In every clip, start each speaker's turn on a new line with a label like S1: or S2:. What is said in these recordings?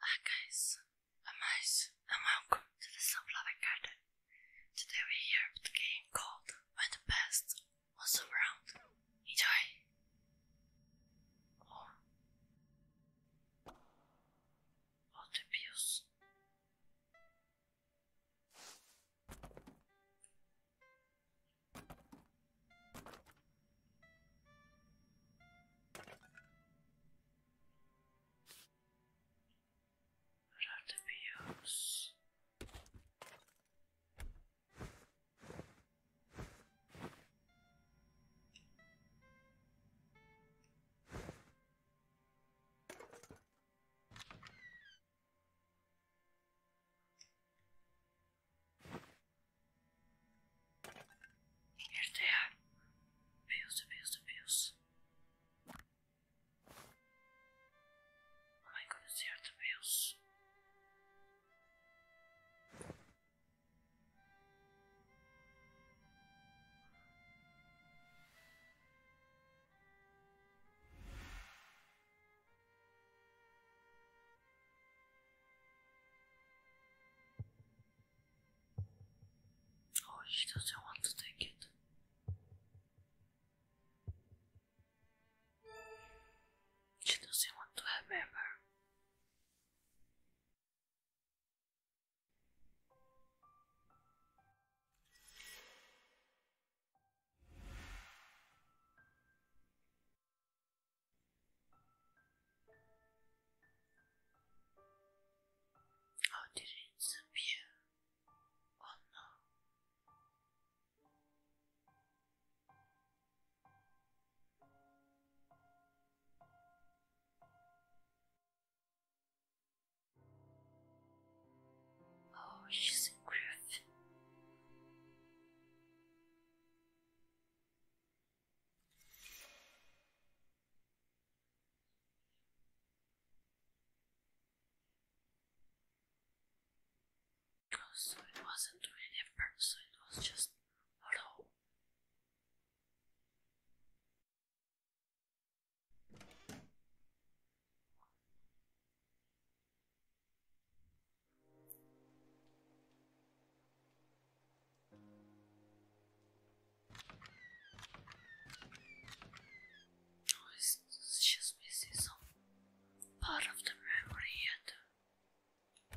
S1: Hi guys, I'm Ice and welcome to the Sunflower Garden. Today we're here with the game called When the Best Was Around. Enjoy! Oh. Oh, the would have to be yours. Here they are. Views, views, views. Oh my god, they are the views. Oh, she doesn't want to take it. She doesn't want to have ever. Oh, did it disappear? Oh no. Oh, she's a griffin. So it wasn't really a person, it was just hello. Oh, it's, just missing some of the memory and uh,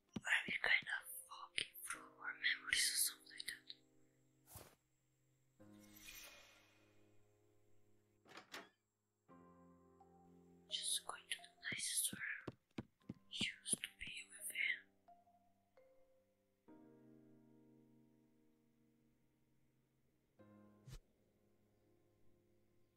S1: I will kind of walk through our memories or something like that. Just going to the places where to be with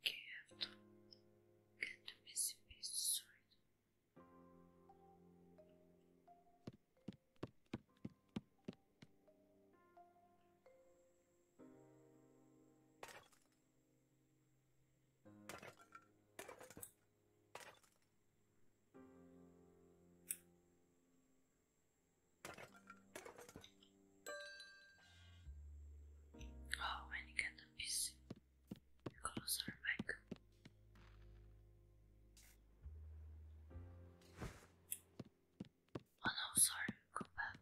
S1: Okay, que tu me sentisse sordo. Oh, I got a piece closer back. Oh no, sorry, go back.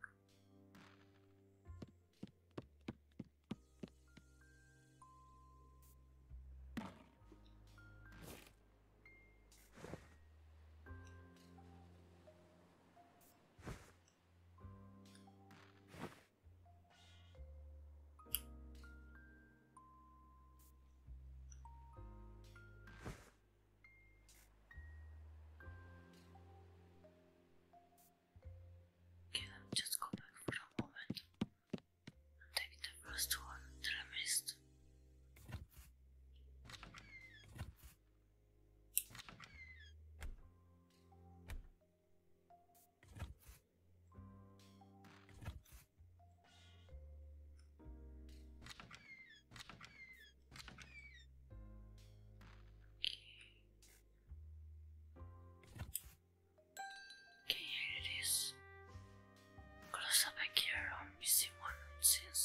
S1: Okay, let just go for a moment take the first one that I missed. Okay, here it is. Close up here, I'm missing one since.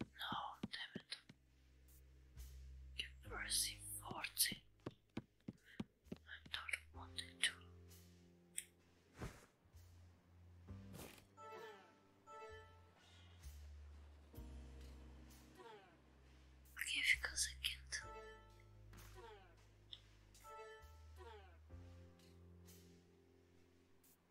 S1: No, damn it. You received 40. I don't want it to. Okay, because I can't.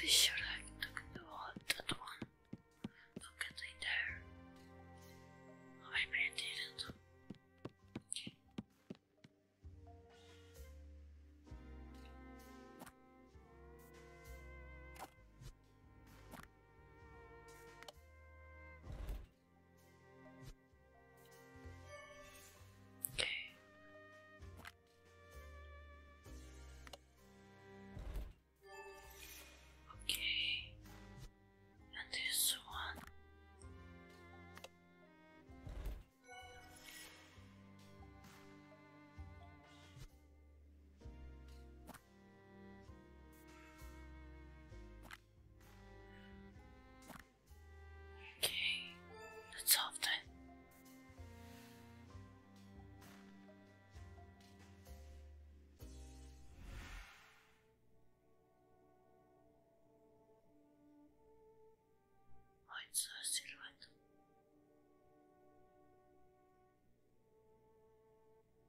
S1: This sure I took the one, that one. Look at it there. Oh, I didn't. Okay. Okay. Okay. And this one. Okay, let's solve that. Oh, it's a silhouette.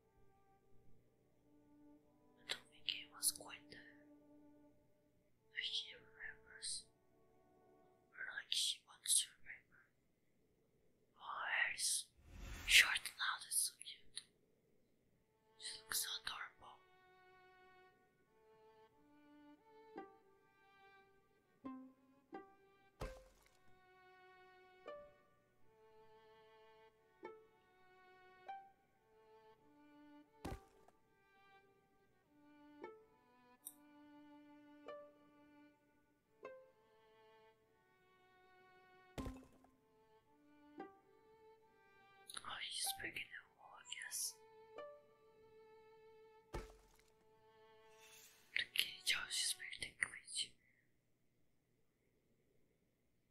S1: I don't think he was quite there. Like remembers, or like she wants to remember. Oh, Harry's short now, that's so cute. She looks adorable. Oh, he's breaking the wall, I guess. The the cage.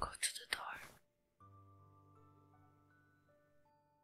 S1: Go to the door.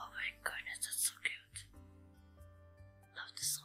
S1: Oh my goodness, that's so cute. Love the song.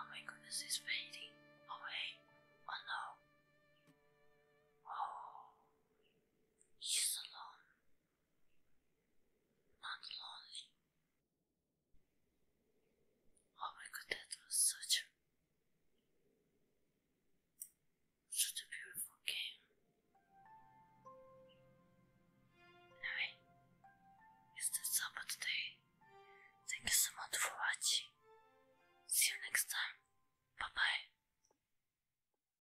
S1: Oh my goodness, it's fading away. Oh no. Oh, he's alone. Not lonely. Oh my god, that was such a beautiful game. Anyway, it's that's all for Thank you so much for watching. See you next time. Bye bye.